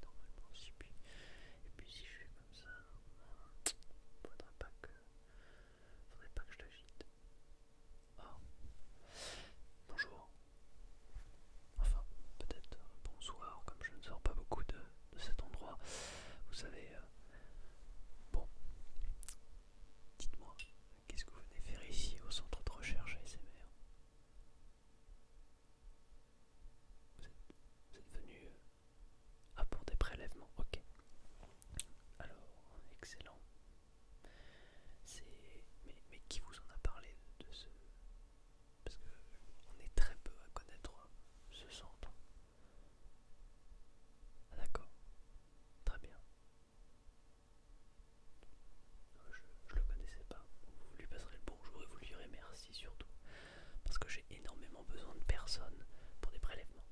Normalement, et puis si je fais comme ça, faudrait pas que, faudrait pas que je t'agite. Ah, bonjour. Enfin, peut-être euh, bonsoir, comme je ne sors pas beaucoup de, cet endroit. Vous savez, euh, bon, dites-moi, Qu'est-ce que vous venez faire ici au centre de recherche ASMR vous êtes, venu euh, à pour des prélèvements, ok. Alors, excellent. C'est... Mais, mais qui vous en a parlé de ce... Parce que on est très peu à connaître ce centre. Ah, D'accord, très bien. Je ne le connaissais pas. Vous lui passerez le bonjour et vous lui direz merci surtout. Parce que j'ai énormément besoin de personnes pour des prélèvements.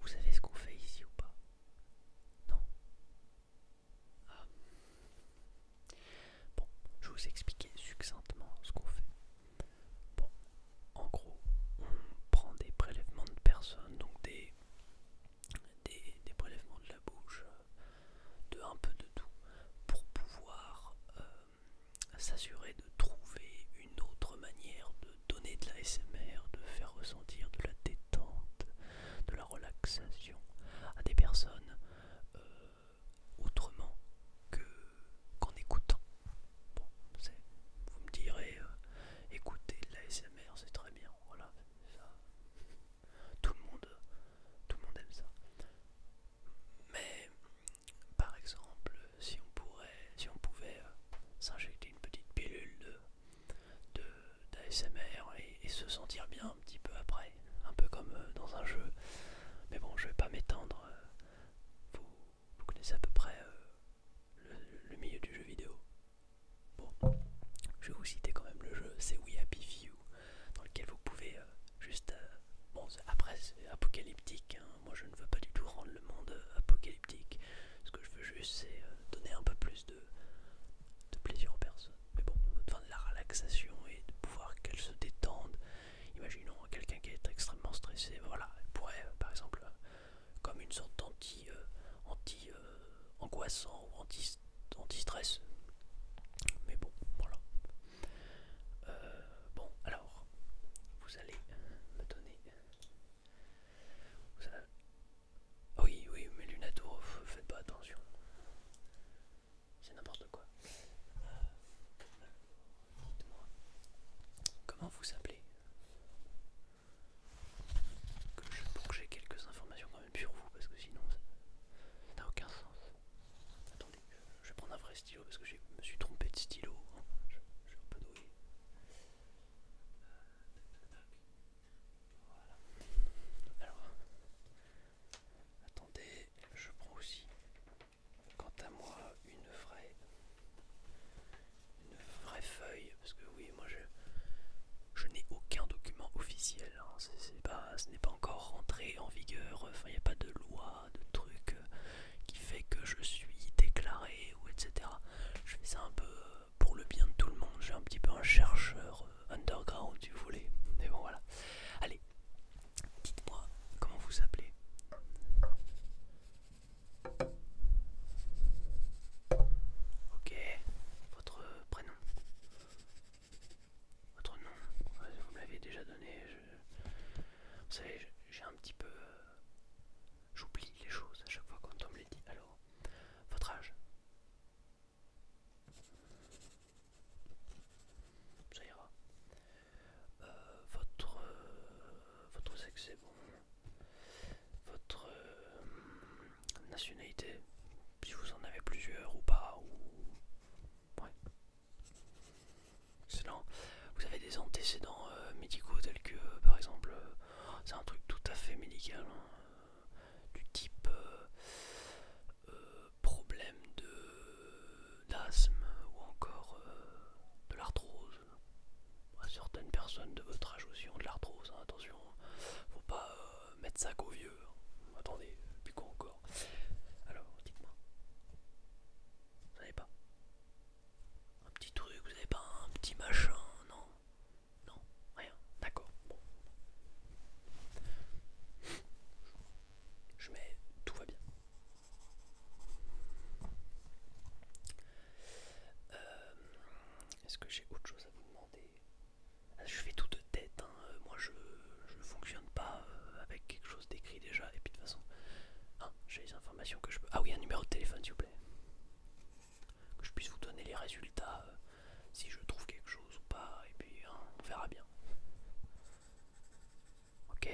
Vous savez ce qu'on fait ici ou pas Non ah. Bon, je vous expliquer succinctement ce qu'on fait. Bon, en gros, on prend des prélèvements de personnes, donc des des, prélèvements de la bouche, euh, de un peu de tout, pour pouvoir euh, s'assurer de trouver une autre manière de donner de la SMR, de faire ressentir de la détente, de la relaxation à des personnes euh, autrement qu'en écoutant. Bon, vous me direz, écoutez de la SMR, c'est très bien, voilà, Tout le monde, tout le monde aime ça. Mais par exemple, si on pourrait, si on pouvait euh, s'injecter une petite pilule de d'ASMR et, se sentir bien un petit peu après, un peu comme euh, dans un jeu. Mais bon, je vais pas m'étendre. Euh, vous, connaissez à peu près le, milieu du jeu vidéo. Bon, je vais vous citer quand même le jeu, c'est We Happy Few, dans lequel vous pouvez euh, juste... Euh, bon, après c'est apocalyptique, hein. moi je ne veux pas du tout rendre le monde euh, apocalyptique, ce que je veux juste c'est donner un peu plus de, plaisir aux personnes, mais bon, enfin de la relaxation et de pouvoir qu'elles se détendent. Imaginons quelqu'un qui est extrêmement stressé, voilà, elle pourrait par exemple comme une sorte d'anti euh, anti euh, angoissant ou anti, stress mais bon voilà euh, bon alors vous allez me donner oui oui mais lunettes faites pas attention c'est n'importe quoi dites-moi comment vous appelez que pour que j'ai quelques informations quand même sur vous parce que sinon ça n'a aucun sens. Attendez, je vais prendre un vrai stylo parce que je me suis trompé de stylo. Hein. Je, suis un peu doué. Euh, voilà. Alors, attendez, je prends aussi, quant à moi, une vraie une vraie feuille parce que oui moi je n'ai aucun document officiel hein. pas, ce n'est pas encore rentré en vigueur enfin il n'y a pas de loi de truc euh, qui fait que je suis déclaré ou etc je fais ça un peu euh, pour le bien de tout le monde j'ai un petit peu un chercheur euh, underground si vous voulez mais bon voilà allez dites moi comment vous appelez Ok, votre prénom. Votre nom, vous me l'avez déjà donné. Vous savez, j'ai un petit peu... Euh, j'oublie les choses à chaque fois quand on me les dit. Alors, votre âge. Ça ira. Euh, votre, euh, votre sexe, est bon votre euh, nationalité, si vous en avez plusieurs ou pas, ou... Ouais. Excellent. Vous avez des antécédents euh, médicaux tels que, euh, par exemple, c'est un truc tout à fait médical, hein, du type problème d'asthme ou encore de l'arthrose bah, certaines personnes de votre âge aussi ont de l'arthrose, hein, attention, hein. faut pas euh, mettre ça au vieux. Hein. Attendez, plus quoi encore Alors, dites-moi, vous n'avez pas un petit truc, vous n'avez pas un petit machin, non Non, rien, d'accord, Je mets tout va bien. Euh, est-ce que j'ai autre chose à vous demander ah, Je fais tout de tête, hein. euh, moi je ne fonctionne pas euh, avec quelque chose d'écrit déjà, et puis de toute façon, hein, j'ai les informations que je peux. Ah oui, un numéro de téléphone s'il vous plaît. Que je puisse vous donner les résultats, si je trouve quelque chose ou pas, et puis hein, on verra bien. Ok.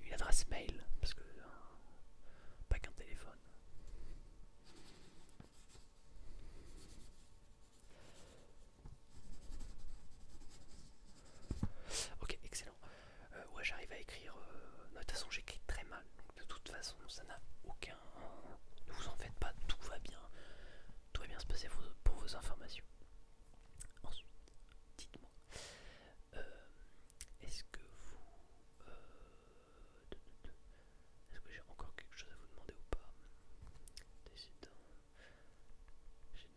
une adresse mail, parce que euh, pas qu'un téléphone. Ok, excellent. Euh, ouais, j'arrive à écrire. Euh, de toute façon, j'écris très mal, de toute façon ça n'a aucun... Ne vous en faites pas, tout va bien. Tout va bien se passer pour vos informations. Ensuite, dites-moi, euh, est-ce que vous... Euh, est-ce que j'ai encore quelque chose à vous demander ou pas J'ai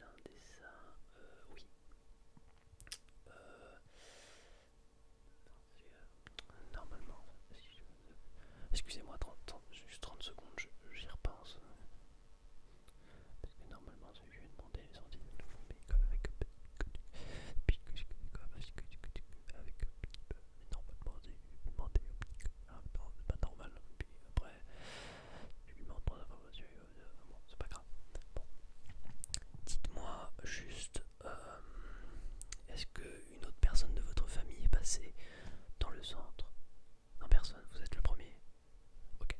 un dessin... Euh, oui. Euh, Normalement, Excusez-moi, 30, juste 30 secondes, j'y repense. Parce que normalement, je lui ai demandé les sorties de nouveau, mais comme avec... Avec... Normalement, je lui ai demandé... Ah, pas normal, puis après... Je lui demande pour l'information, euh, euh, c'est pas grave. Bon. Dites-moi juste euh, est-ce qu'une autre personne de votre famille est passée dans le centre Non, personne, vous êtes le premier. Ok.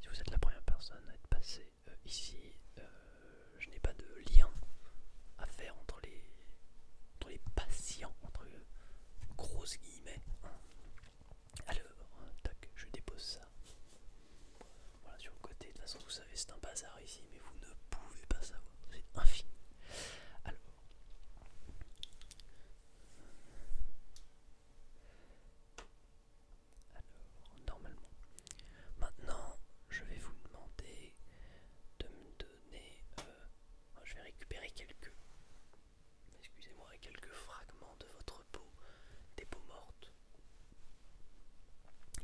Si vous êtes la première personne à être passée euh, ici, euh, je n'ai pas de lien à faire entre les, les patients, entre grosses guillemets. Alors, tac, je dépose ça. Voilà, sur le côté, de toute façon, vous savez, c'est un bazar ici, mais vous ne pouvez pas savoir, c'est infini. Alors, normalement, maintenant, je vais vous demander de me donner. Euh, je vais récupérer quelques, excusez-moi, quelques fragments de votre peau, des peaux mortes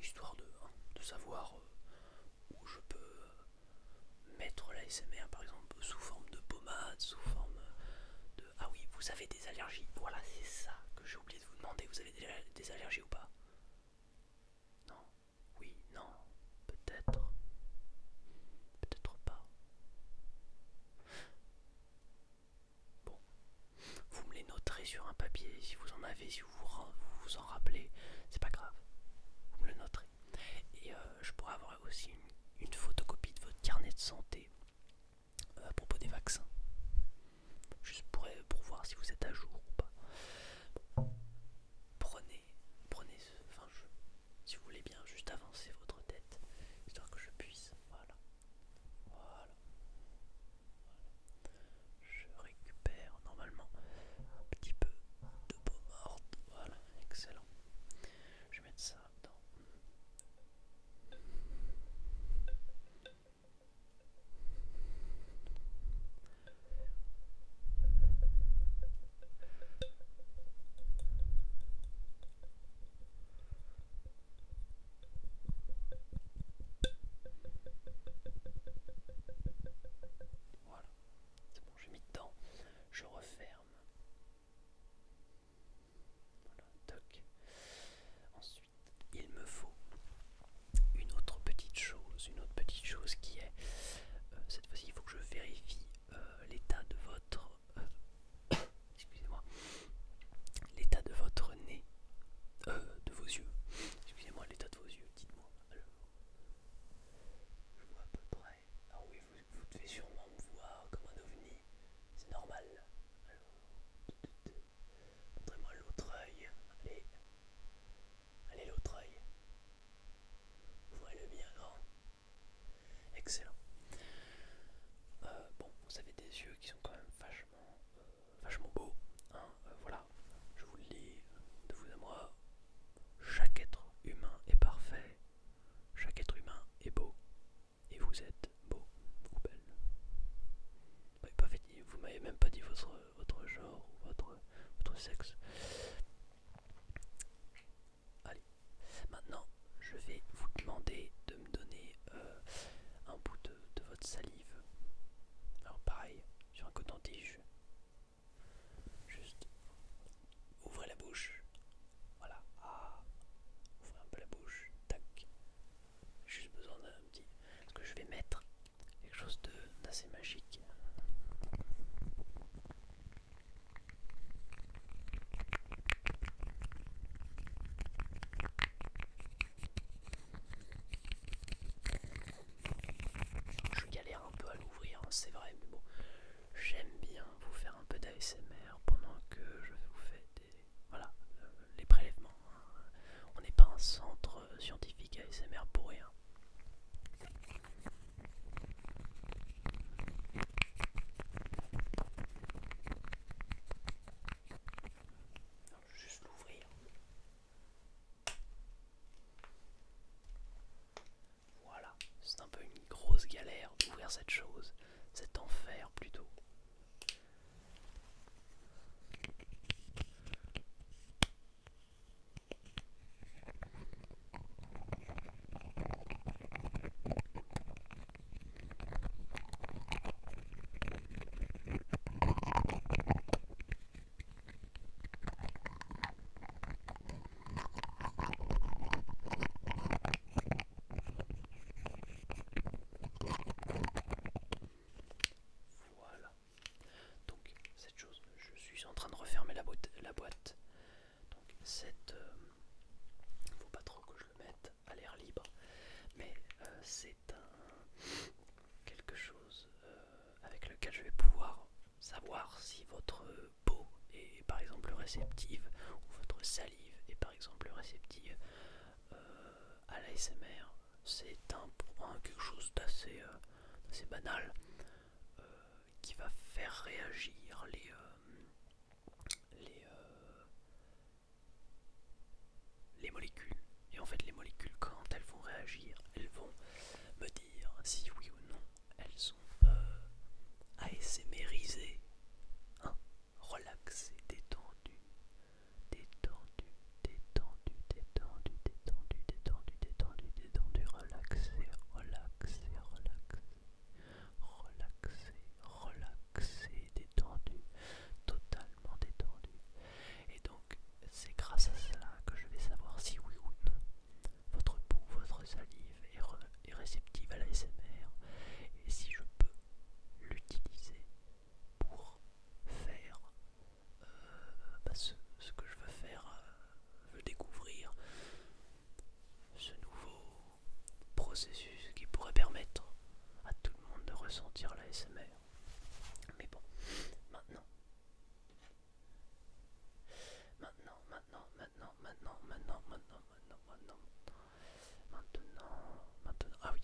histoire de, hein, de savoir euh, où je peux euh, mettre mettre l'ASMR par exemple sous forme de pommade, sous forme euh, de... Ah oui, vous avez des allergies, voilà c'est ça que j'ai oublié de vous demander, vous avez des allergies ou pas Non Oui, non, peut-être, peut-être pas. Bon, vous me les noterez sur un papier, si vous en avez, si vous vous, en rappelez, c'est pas grave. Vous me le noterez. Et euh, je pourrais avoir aussi une, photocopie de votre carnet de santé euh, à propos des vaccins. Juste pour, euh, pour voir si vous êtes à jour ou pas. Prenez, prenez Enfin, si vous voulez bien, juste avancer votre tête, histoire que je puisse. Voilà. Voilà. Je récupère normalement un petit peu de beau morte. Voilà, excellent. Je mets ça dans... Voilà, c'est bon, j'ai mis dedans. Je referme. Voilà, toc. Ensuite, il me faut une autre petite chose, une autre petite chose qui est, euh, cette fois-ci, il faut que je vérifie euh, l'état de votre, euh, excusez-moi, l'état de votre nez. Euh, de vos yeux. Excusez-moi l'état de vos yeux, dites-moi. Je vois à peu près. Ah oui, vous, devez sûrement me voir comme un ovni. C'est normal. Alors, montrez-moi l'autre œil. Allez. Allez, l'autre œil. voyez le bien grand. Excellent. Euh, bon, vous avez des yeux qui sont quand même vachement euh, vachement beau. Hein, euh, voilà, je vous le dis de vous à moi. Chaque être humain est parfait. Chaque être humain est beau. Et vous êtes beau vous, belle. Vous m'avez même pas dit votre, genre ou votre, sexe. Allez, maintenant je vais vous demander de me donner euh, un bout de votre salive. Alors pareil, sur un coton-tige. Juste, ouvrez la bouche. Voilà. Ah, ouvrez un peu la bouche. Tac. J'ai juste besoin d'un petit... Est-ce que je vais mettre quelque chose d'assez magique. Je galère un peu à l'ouvrir, hein, c'est vrai, mais bon, j'aime bien vous faire un peu d'ASMR pendant que je vous fais des. Voilà, euh, les prélèvements. Hein. On n'est pas un centre scientifique ASMR pour rien l'ouvrir. Voilà, c'est un peu une grosse galère d'ouvrir cette chose, cet enfer plutôt. Voilà. Donc cette chose, je suis en train de refermer la boîte. La boîte. Donc cette, euh, faut pas trop que je le mette à l'air libre, mais euh, c'est un quelque chose euh, avec lequel je vais pouvoir savoir si votre peau est par exemple réceptive ou votre salive est par exemple réceptive euh, à l'ASMR. C'est un, point, quelque chose d'assez banal qui va faire réagir les, les, les molécules. Et en fait, les molécules, quand elles vont réagir, elles vont me dire si oui ou non elles sont à euh, e, hein, relaxées, détendues, détendues, détendues, détendu détendu détendu détendues, détendues, relaxées, relaxées, relaxées, relaxées, relaxé, détendu, totalement détendu. Et donc, c'est grâce à cela que je vais savoir si oui ou non votre peau, votre salive est, réceptive à l'ASMR et si je peux l'utiliser pour faire euh, bah, ce, que je veux faire, je euh, veux découvrir ce nouveau processus qui pourrait permettre à tout le monde de ressentir la SMR. Mais bon, maintenant, maintenant, maintenant, maintenant, maintenant, maintenant, maintenant, maintenant, maintenant, maintenant, ah oui,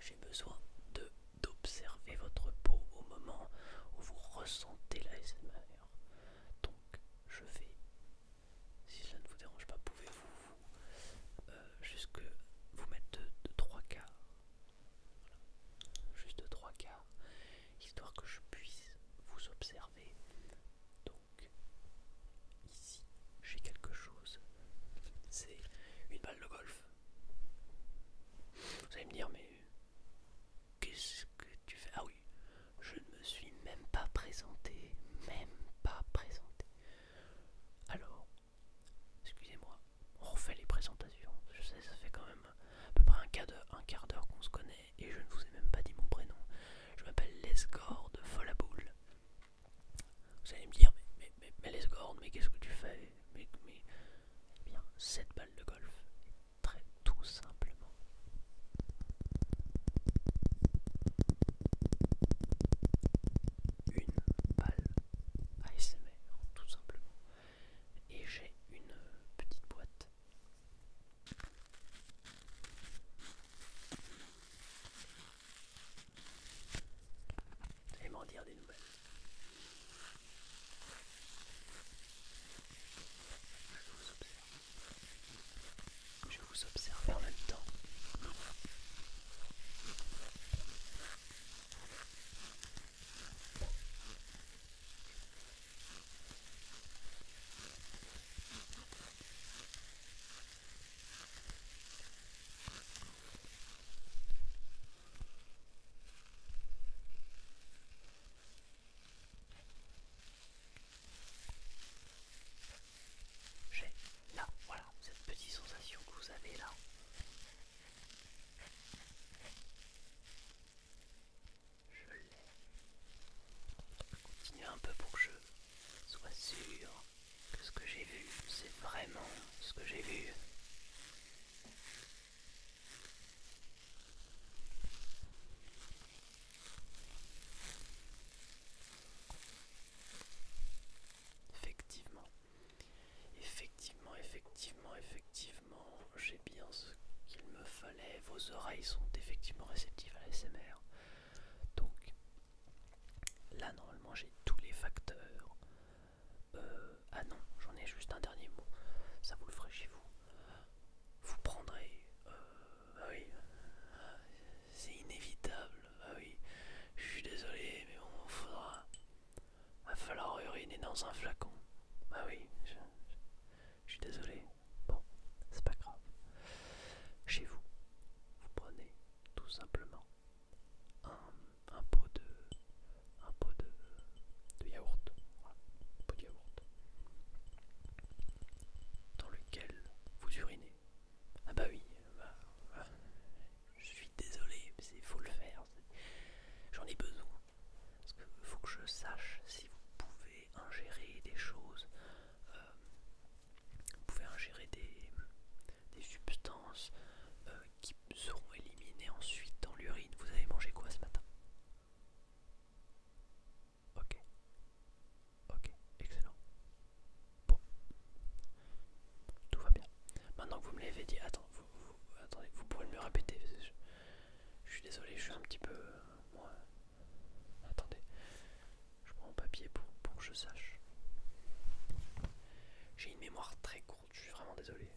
j'ai besoin de d'observer votre peau au moment où vous ressentez la SMR. Donc, je vais si cela ne vous dérange pas, pouvez-vous vous, euh, jusque vous mettre de, trois quarts Juste de quarts, histoire que je puisse vous observer. Donc, ici, j'ai quelque chose. C'est une balle de golf. Vous allez me dire, mais qu'est-ce que tu fais Ah oui, je ne me suis même pas présenté, même pas présenté. Alors, excusez-moi, on refait les présentations. Je sais, ça fait quand même à peu près un quart d'heure qu'on se connaît et je ne vous ai même pas dit mon prénom. Je m'appelle Lesgord de Vous allez me dire, mais, mais, mais, Lesgord, mais qu'est-ce que tu fais mais, bien, cette balle de golf très tout simplement une balle ASMR tout simplement et j'ai une petite boîte et m'en dire des nouvelles je vous observe en même temps. J'ai là, voilà, cette petite sensation que vous avez là. Je l'ai. continuer un peu pour que je sois sûr que ce que j'ai vu, c'est vraiment ce que j'ai vu. Effectivement, effectivement, effectivement, effectivement, j'ai bien ce qu'il me fallait. Vos oreilles sont effectivement réceptives à l'ASMR. Donc, là, normalement, j'ai tous les facteurs. Euh, ah non, j'en ai juste un dernier mot. Ça vous le ferait chez vous. Vous prendrez... Euh, oui c'est inévitable. Ah oui, je suis désolé, mais on faudra. Va falloir uriner dans un flacon. Bah oui, je, suis désolé. Bon, c'est pas grave. Chez vous, vous prenez tout simplement un, pot de, un pot yaourt, un pot de yaourt dans lequel vous urinez. Ah bah oui, bah, bah, je suis désolé, mais il faut le faire. J'en ai besoin. Parce qu'il faut que je sache si vous pouvez ingérer des choses. Euh, vous pouvez ingérer des, substances euh, qui seront éliminées ensuite dans l'urine. Vous avez mangé quoi ce matin Ok. Ok, excellent. Bon. Tout va bien. Maintenant que vous me l'avez dit, attends, vous, attendez, vous pourrez me répéter. Je, suis désolé, je suis un petit peu... Euh, attendez. Je prends mon papier pour, pour que je sache. J'ai une mémoire très courte, je suis vraiment désolé.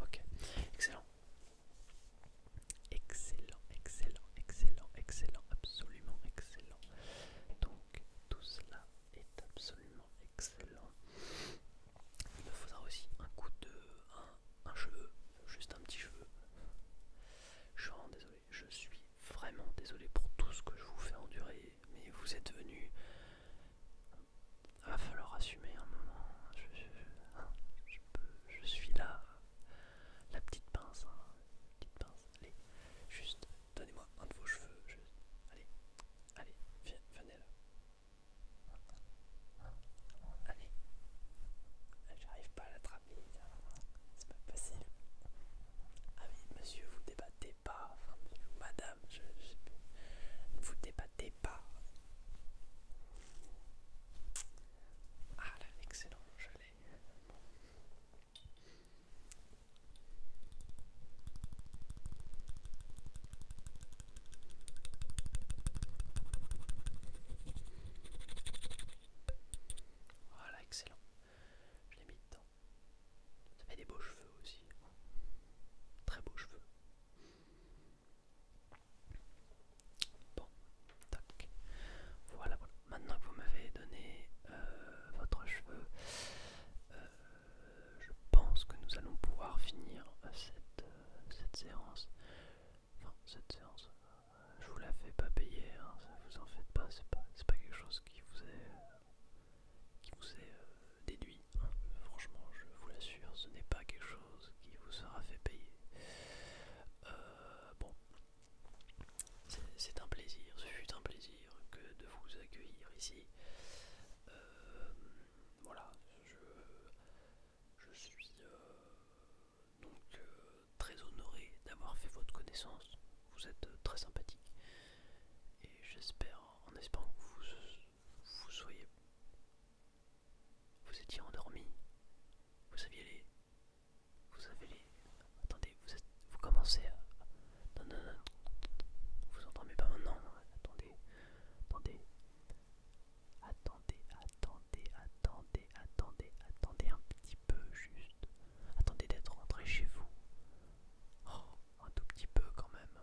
Ok, excellent. Excellent, excellent, excellent, excellent, absolument excellent. Donc tout cela est absolument excellent. Il me faudra aussi un coup de... un, un cheveu, juste un petit cheveu. Je suis vraiment désolé. Je suis vraiment désolé pour tout ce que je vous fais endurer. Mais vous êtes venu Va falloir assumer un moment. Hein. Hein, je, suis là. Hein. La petite pince. Allez, juste donnez-moi un de vos cheveux. Allez, venez là. Allez, ah, j'arrive pas à l'attraper, c'est pas facile. Ah oui, monsieur, vous débattez débattez pas, madame, je, sais ne vous débattez pas. Ah là, excellent, je l'ai. Voilà, excellent. Je l'ai mis dedans. Ça fait des beaux cheveux aussi. Très beaux cheveux. Bon, tac. Voilà, voilà. Maintenant que vous m'avez donné euh, votre cheveu, euh, je pense que nous allons pouvoir finir euh, cette, séance. Enfin, cette séance, je vous la fais pas payer, Ça hein. ça vous en faites pas, c'est pas, pas quelque chose qui vous est qui vous est euh, déduit. Hein. Franchement, je vous l'assure, ce n'est pas quelque chose qui vous sera fait payer. Euh, bon, c'est un plaisir, ce fut un plaisir que de vous accueillir ici. Euh, voilà, je, je suis donc très honoré d'avoir fait votre connaissance. Vous êtes euh, très sympathique. Et j'espère, en espérant que vous, vous soyez... Vous étiez endormi. Vous aviez les... Vous avez les... Attendez, vous, commencez à... Non, non, Vous entendez pas maintenant Attendez. Attendez. Attendez, attendez, attendez, attendez, attendez un petit peu juste. Attendez d'être rentré chez vous. Oh, un tout petit peu quand même.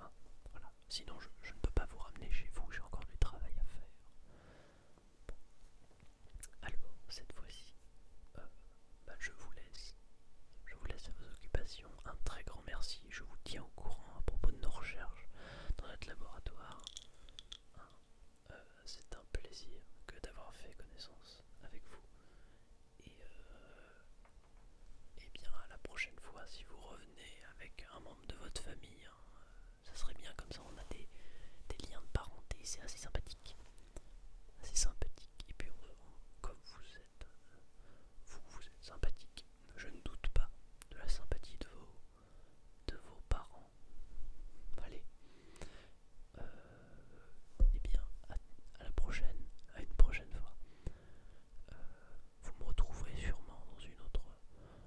Hein, voilà. Sinon, je, ne peux pas vous ramener chez vous, j'ai encore du travail à faire. Alors, cette fois-ci, euh, bah, je vous laisse. Je vous laisse à vos occupations. Un très grand merci. Je vous tiens au courant à propos de nos recherches dans notre laboratoire. Hein. Euh, c'est un plaisir que d'avoir fait connaissance avec vous. Et, euh, et bien à la prochaine fois, si vous revenez avec un membre de votre famille, hein, ça serait bien comme ça, on a des, liens de parenté, c'est assez sympathique. Assez sympathique. Et puis comme vous êtes, euh, vous êtes sympathique. Je ne doute pas de la sympathie de vos, de vos parents Allez. Et euh, eh bien, à, la prochaine, à une prochaine fois. Euh, vous me retrouverez sûrement dans une autre,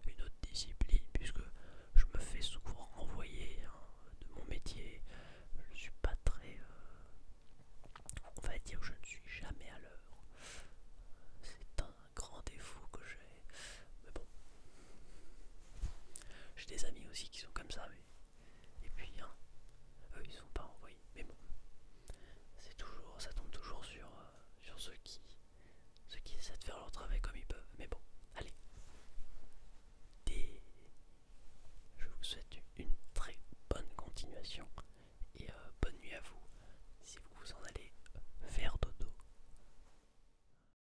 une autre discipline, puisque je me fais souvent renvoyer hein, de mon métier. Je ne suis pas très... Euh, on va dire je ne suis jamais à l'heure. C'est un grand défaut que j'ai mais bon. J'ai des amis aussi qui sont comme ça, et puis hein, eux ils sont pas envoyés, mais bon. C'est toujours, ça tombe toujours euh, sur, ceux qui, ceux qui essaient de faire leur travail comme ils peuvent, mais bon. Allez, je vous souhaite une très bonne continuation et euh, bonne nuit à vous si vous en allez vers dodo.